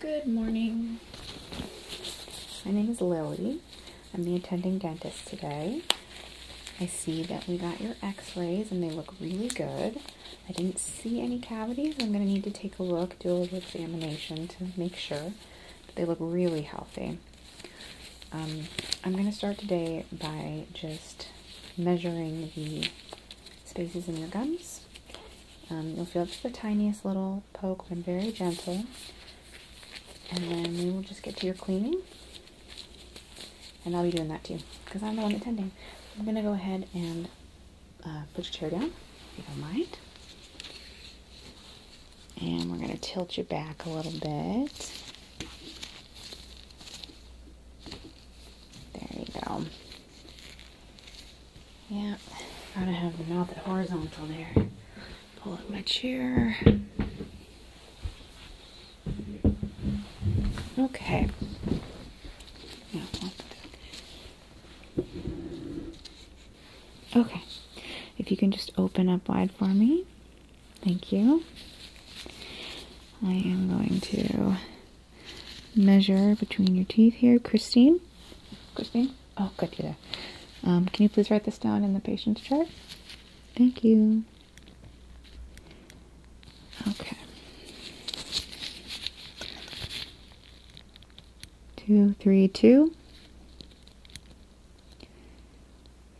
Good morning. My name is Lily. I'm the attending dentist today. I see that we got your x rays and they look really good. I didn't see any cavities. I'm going to need to take a look, do a little examination to make sure they look really healthy. Um, I'm going to start today by just measuring the spaces in your gums. Um, you'll feel just the tiniest little poke, but very gentle. And then we will just get to your cleaning. And I'll be doing that too, because I'm the one attending. I'm going to go ahead and uh, put your chair down, if you don't mind. And we're going to tilt you back a little bit. There you go. Yeah, gotta have the mouth at horizontal there. Pull up my chair. Okay. Okay. If you can just open up wide for me. Thank you. I am going to measure between your teeth here. Christine? Christine? Oh, good, um, can you please write this down in the patient's chart? Thank you. Okay. Two, three, two.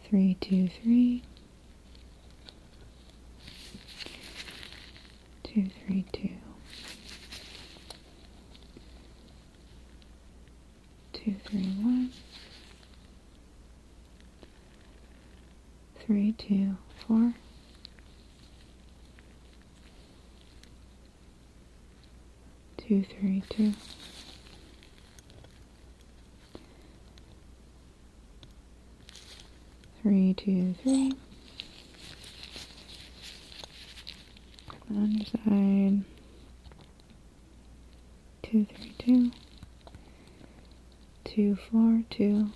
Three, two, three. Two, three, two two, three, one, three, two, four. Two, three, two. Three, two, three. Come on your side. Two, three, two. Two, four, two.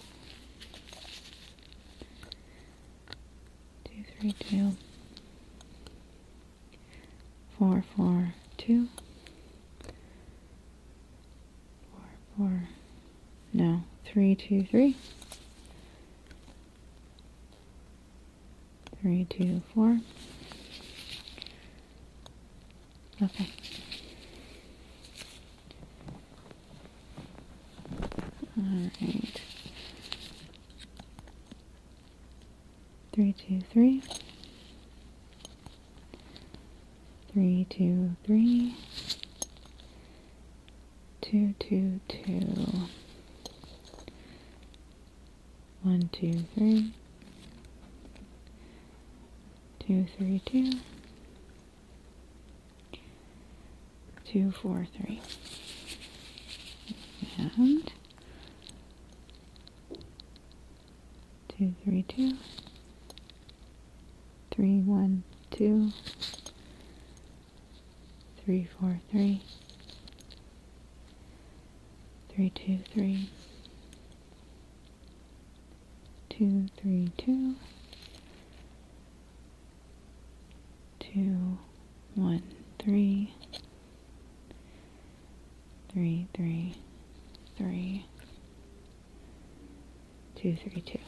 Two, three, two. Four, four, two. Four, four. No. Three, two, three three, two, four. Okay. All right. Three, two, three. Three, two, three two, two, two, one, two, three, two, three, two, two, four, three, and two, three, two, three, one, two, three four three three two three two three two two one three three three three two three two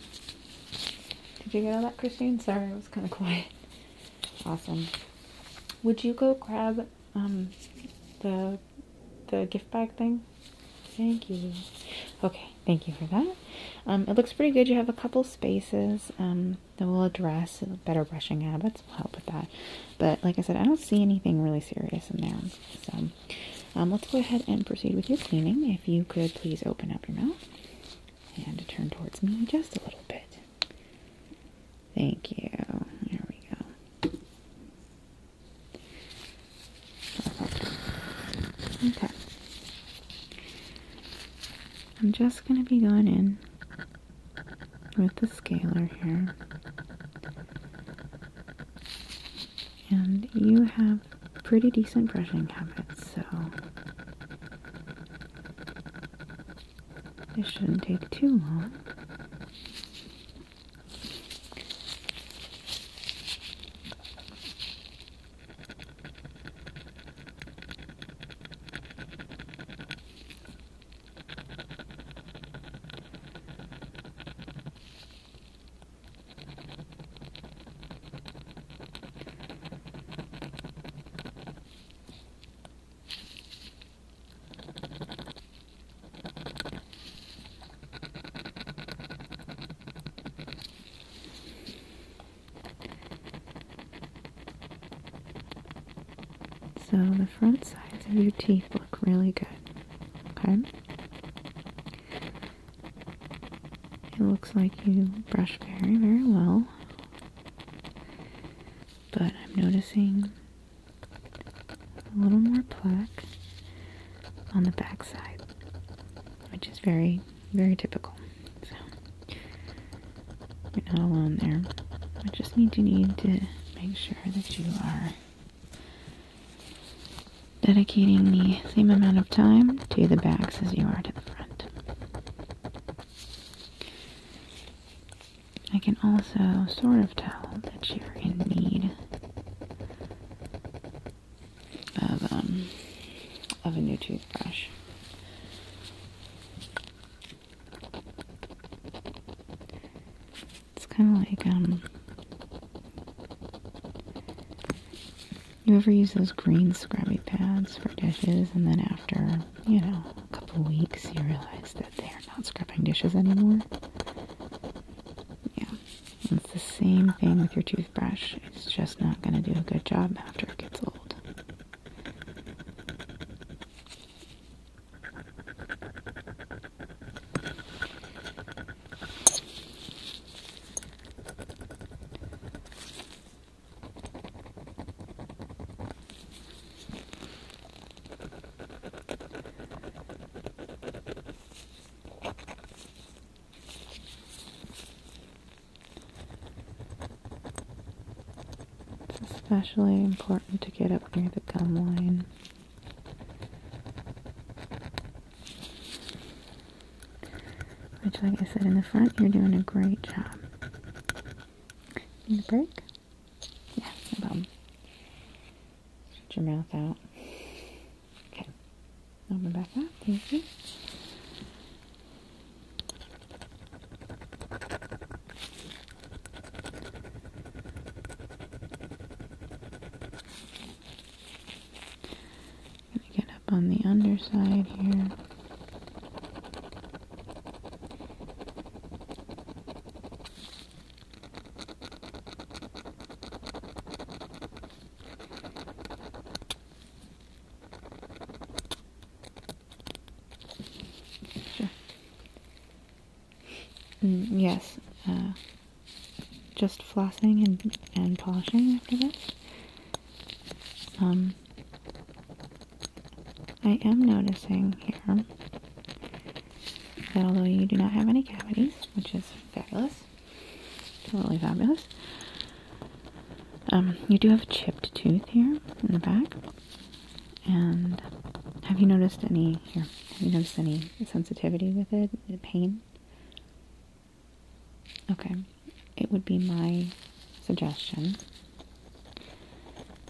did you get all that, Christine? Sorry, it was kind of quiet. Awesome. Would you go grab um, the the gift bag thing? Thank you. Okay, thank you for that. Um, it looks pretty good. You have a couple spaces um, that will address better brushing habits. Will help with that. But like I said, I don't see anything really serious in there. So let's go ahead and proceed with your cleaning. If you could please open up your mouth and to turn towards me just a little bit. Thank you. There we go. Okay. I'm just going to be going in with the scaler here. And you have pretty decent brushing habits, so this shouldn't take too long. So the front sides of your teeth look really good. Okay? It looks like you brush very, very well. But I'm noticing a little more plaque on the back side, which is very, very typical. So, not alone there. I just need you need to make sure that you are dedicating the same amount of time to the backs as you are to I can also sort of tell that you're in need of, um, of a new toothbrush. It's kind of like, um, you ever use those green scrubby pads for dishes, and then after, you know, a couple weeks, you realize that they are not scrubbing dishes anymore? Yeah, it's the same thing with your toothbrush. It's just not going to do a good job after it gets old especially important to get up near the gum line. Which, like I said in the front, you're doing a great job. Need a break? Yeah, no problem. your mouth out. Okay. Open back up. Thank you. Gonna get up on the underside here. Sure. Mm, yes, uh, just flossing and, and polishing after this. Um, I am noticing here that although you do not have any cavities, which is fabulous, totally fabulous, um, you do have a chipped tooth here in the back. And have you noticed any here? Have you noticed any sensitivity with it? Pain? Okay, it would be my suggestion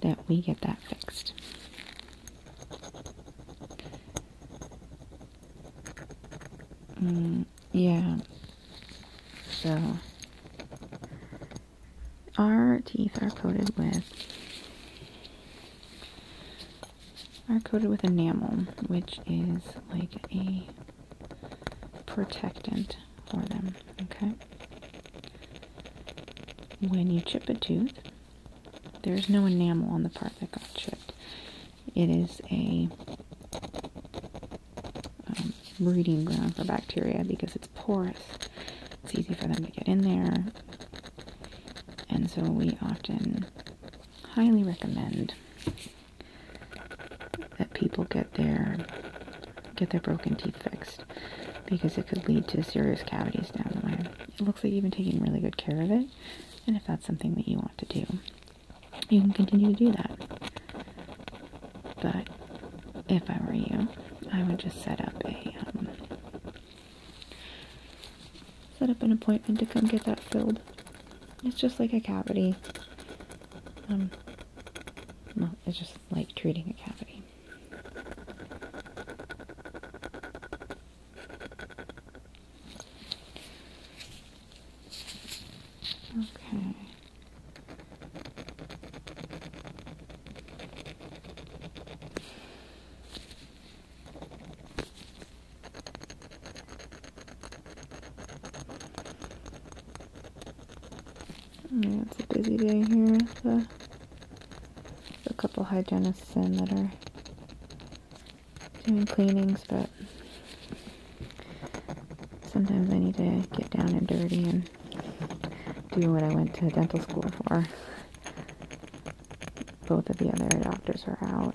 that we get that fixed. Mm, yeah. So, our teeth are coated with are coated with enamel, which is like a protectant for them, okay? When you chip a tooth, there's no enamel on the part that got chipped. It is a um, breeding ground for bacteria because it's porous. It's easy for them to get in there. And so we often highly recommend that people get their get their broken teeth fixed because it could lead to serious cavities down the line. It looks like you've been taking really good care of it, and if that's something that you want to do, you can continue to do that. But if I were you, I would just set up a um, set up an appointment to come get that filled. It's just like a cavity. Um, it's just like treating a cavity. Okay it's a busy day here. a couple hygienists in that are doing cleanings, but sometimes I need to get down and dirty and do what I went to dental school for. Both of the other doctors are out.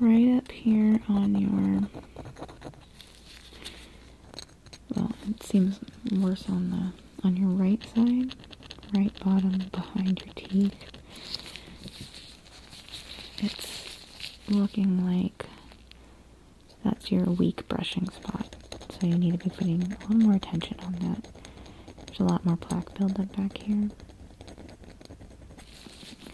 right up here on your well, it seems worse on the on your right side, right bottom behind your teeth. It's looking like that's your weak brushing spot. So you need to be putting a little more attention on that. There's a lot more plaque buildup back here.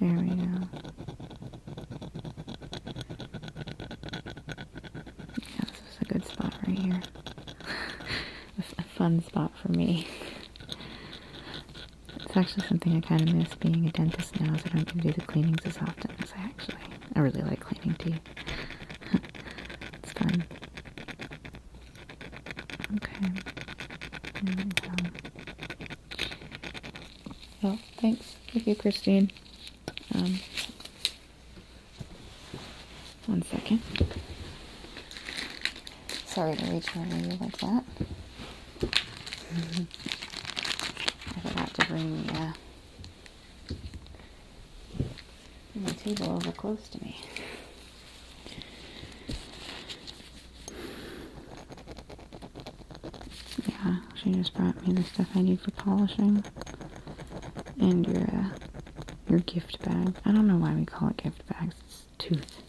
There we go. Yeah, this is a good spot right here. a fun spot for me. It's actually something I kind of miss being a dentist now, is that I don't get to do the cleanings as often as I actually. I really like cleaning teeth. it's fun. Okay. There thanks. Thank you, Christine. Um, one second. Sorry to reach over you like that. Mm -hmm. I forgot to bring the, uh, table over close to me. Yeah, she just brought me the stuff I need for polishing. And your, uh, your gift bag. I don't know why we call it gift bags. It's tooth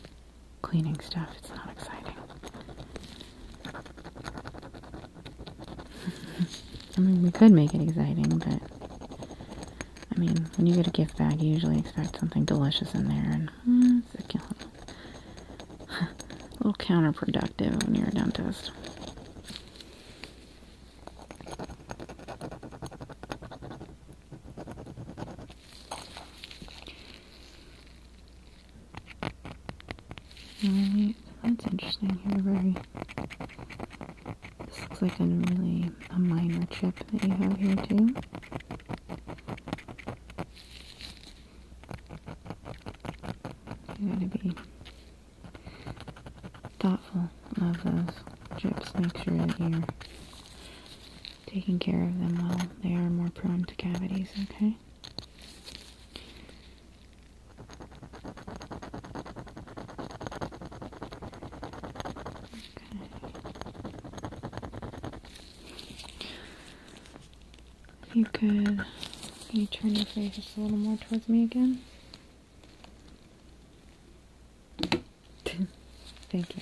cleaning stuff. It's not exciting. I mean, we could make it exciting, but... I mean, when you get a gift bag, you usually expect something delicious in there, and... Hmm, a little counterproductive when you're a dentist. Right. That's interesting here. Very. This looks like a really a minor chip that you have here too. You gotta be thoughtful of those chips. Make sure that you're taking care of them well. They are more prone to cavities, okay? Okay. You could, can you turn your face just a little more towards me again? Thank you.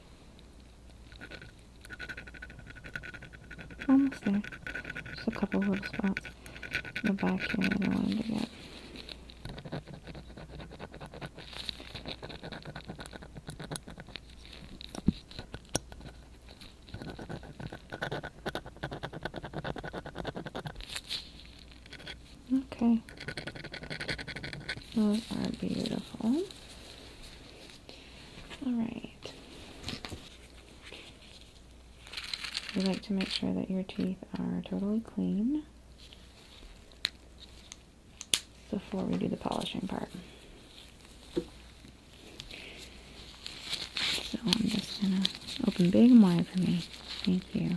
Almost there. Just a couple little spots in the back here and I wanted to get. Okay. Those are beautiful. All right. We like to make sure that your teeth are totally clean before we do the polishing part. So I'm just going to open big wide for me. Thank you.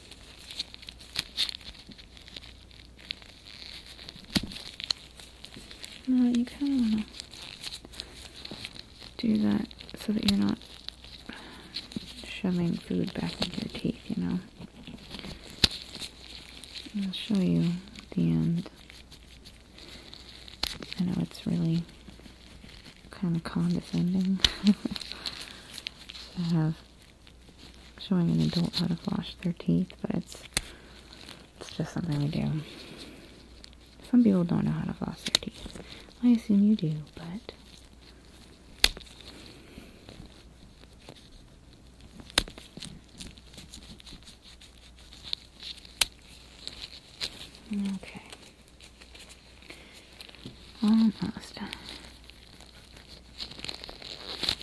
No, you kind of want to do that so that you're not shoving food back in your teeth, you know. I'll show you the end. I know it's really kind of condescending to have showing an adult how to floss their teeth, but it's it's just something we do. Some people don't know how to floss their teeth. I assume you do, but Okay. Almost.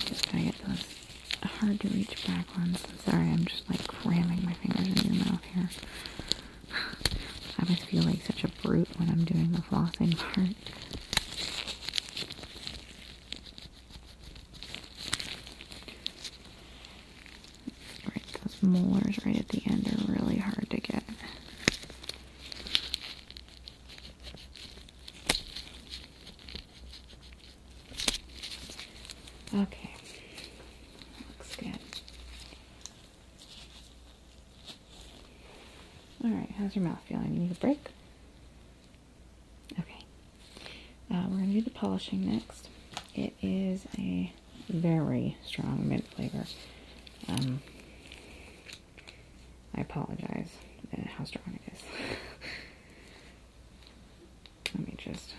Just gotta get those hard to reach back ones. Sorry, I'm just like cramming my fingers in your mouth here. I always feel like such a brute when I'm doing the flossing part. Right, those molars right at the end are really hard to get. Okay, looks good. All right, how's your mouth feeling? You need a break? Okay. Uh, we're going to do the polishing next. It is a very strong mint flavor. Um, I apologize uh, how strong it is. Let me just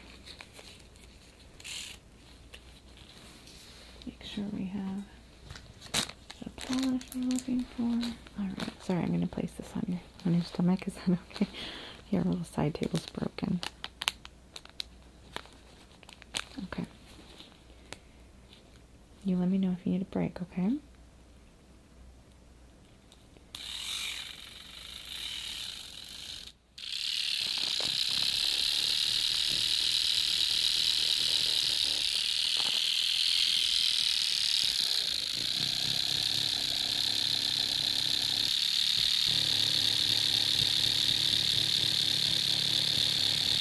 make sure we have the polish we're looking for. Alright, sorry, I'm going to place this on your, on your stomach. Is that okay? Your little side table's broken. Okay. You let me know if you need a break, okay?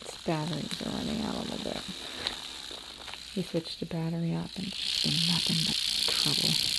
Its batteries are running out a little bit. We switched the battery up and it's been nothing but trouble.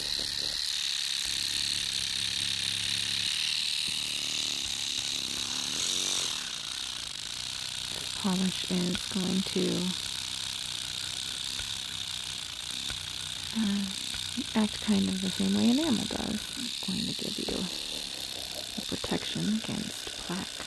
This polish is going to uh, act kind of the same way enamel does. It's going to give you protection against plaque.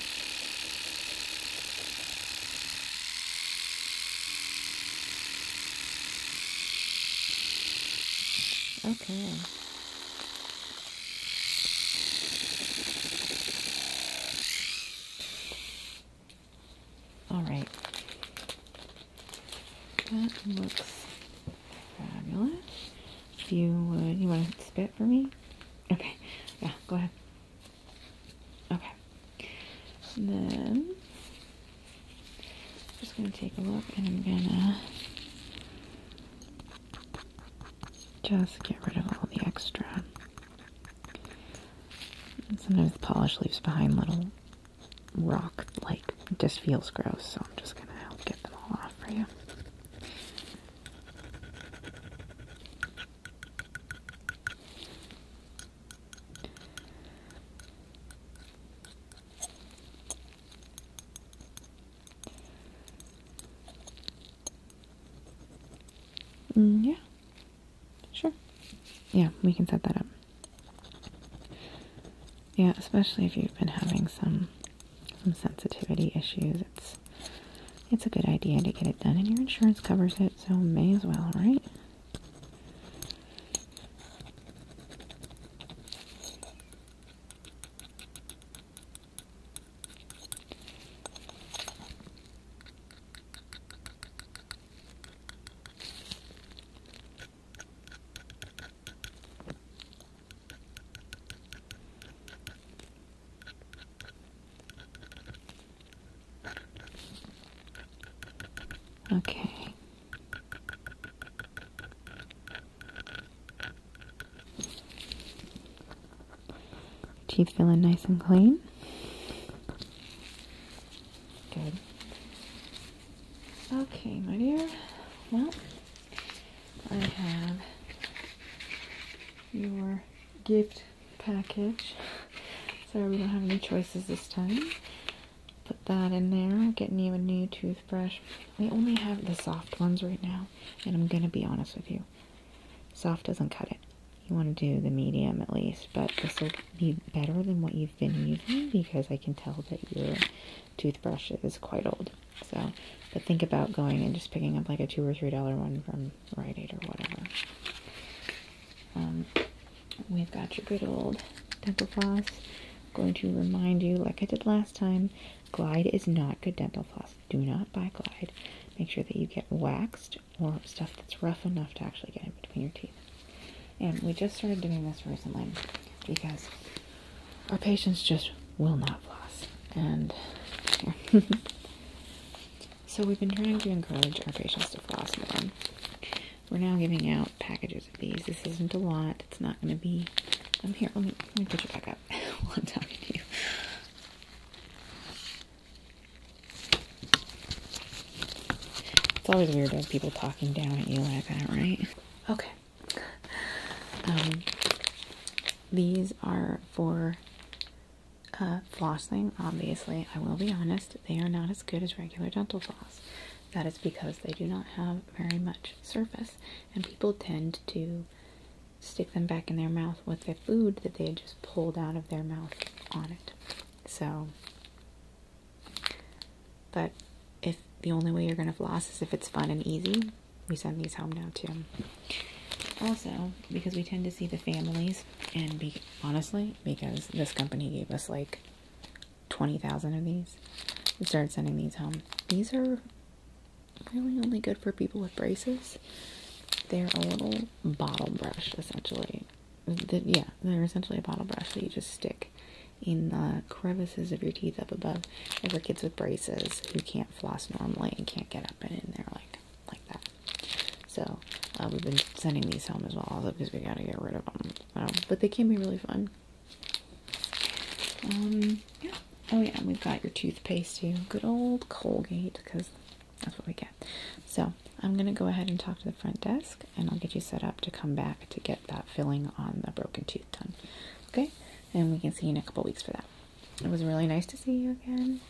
Okay. All right. That looks fabulous. If you would, you want to spit for me? Okay, yeah, go ahead. Okay, and then I'm just gonna take a look, and I'm gonna just get rid of all the extra. sometimes the polish leaves behind little rock, like just feels gross. So I'm just gonna help get them all off for you. Mm, yeah, sure. Yeah, we can set that up. Yeah, especially if you've been having some some sensitivity issues, it's it's a good idea to get it done, and your insurance covers it, so may as well, right? Okay. Teeth feeling nice and clean. Good. Okay, my dear. Well, I have your gift package. Sorry, we don't have any choices this time. Put that in there. Getting you a new toothbrush. We only have the soft ones right now, and I'm gonna be honest with you. Soft doesn't cut it. You want to do the medium at least, but this will be better than what you've been using because I can tell that your toothbrush is quite old. So, but think about going and just picking up like a two or three dollar one from Rite Aid or whatever. Um, we've got your good old dental floss. going to remind you, like I did last time, Glide is not good dental floss. Do not buy Glide. Make sure that you get waxed or stuff that's rough enough to actually get in between your teeth. And we just started doing this recently because our patients just will not floss. And so we've been trying to encourage our patients to floss more. We're now giving out packages of these. This isn't a lot. It's not going to be. I'm here. Let me put you back up while i It's always weird to have people talking down at you like that, right? Okay. Um, these are for uh, flossing. Obviously, I will be honest, they are not as good as regular dental floss. That is because they do not have very much surface, and people tend to stick them back in their mouth with the food that they had just pulled out of their mouth on it. So, but if the only way you're going to floss is if it's fun and easy, we send these home now too. Also, because we tend to see the families, and be honestly, because this company gave us like twenty thousand of these, we started sending these home. These are really only good for people with braces. They're a little bottle brush, essentially. yeah, they're essentially a bottle brush that you just stick in the crevices of your teeth up above. for kids with braces who can't floss normally and can't get up and in there like like that. So uh, we've been sending these home as well, also because we gotta get rid of them. but they can be really fun. Um, yeah. Oh yeah, we've got your toothpaste too. Good old Colgate, because that's what we get. So I'm gonna go ahead and talk to the front desk, and I'll get you set up to come back to get that filling on the broken tooth done. Okay, and we can see you in a couple weeks for that. It was really nice to see you again.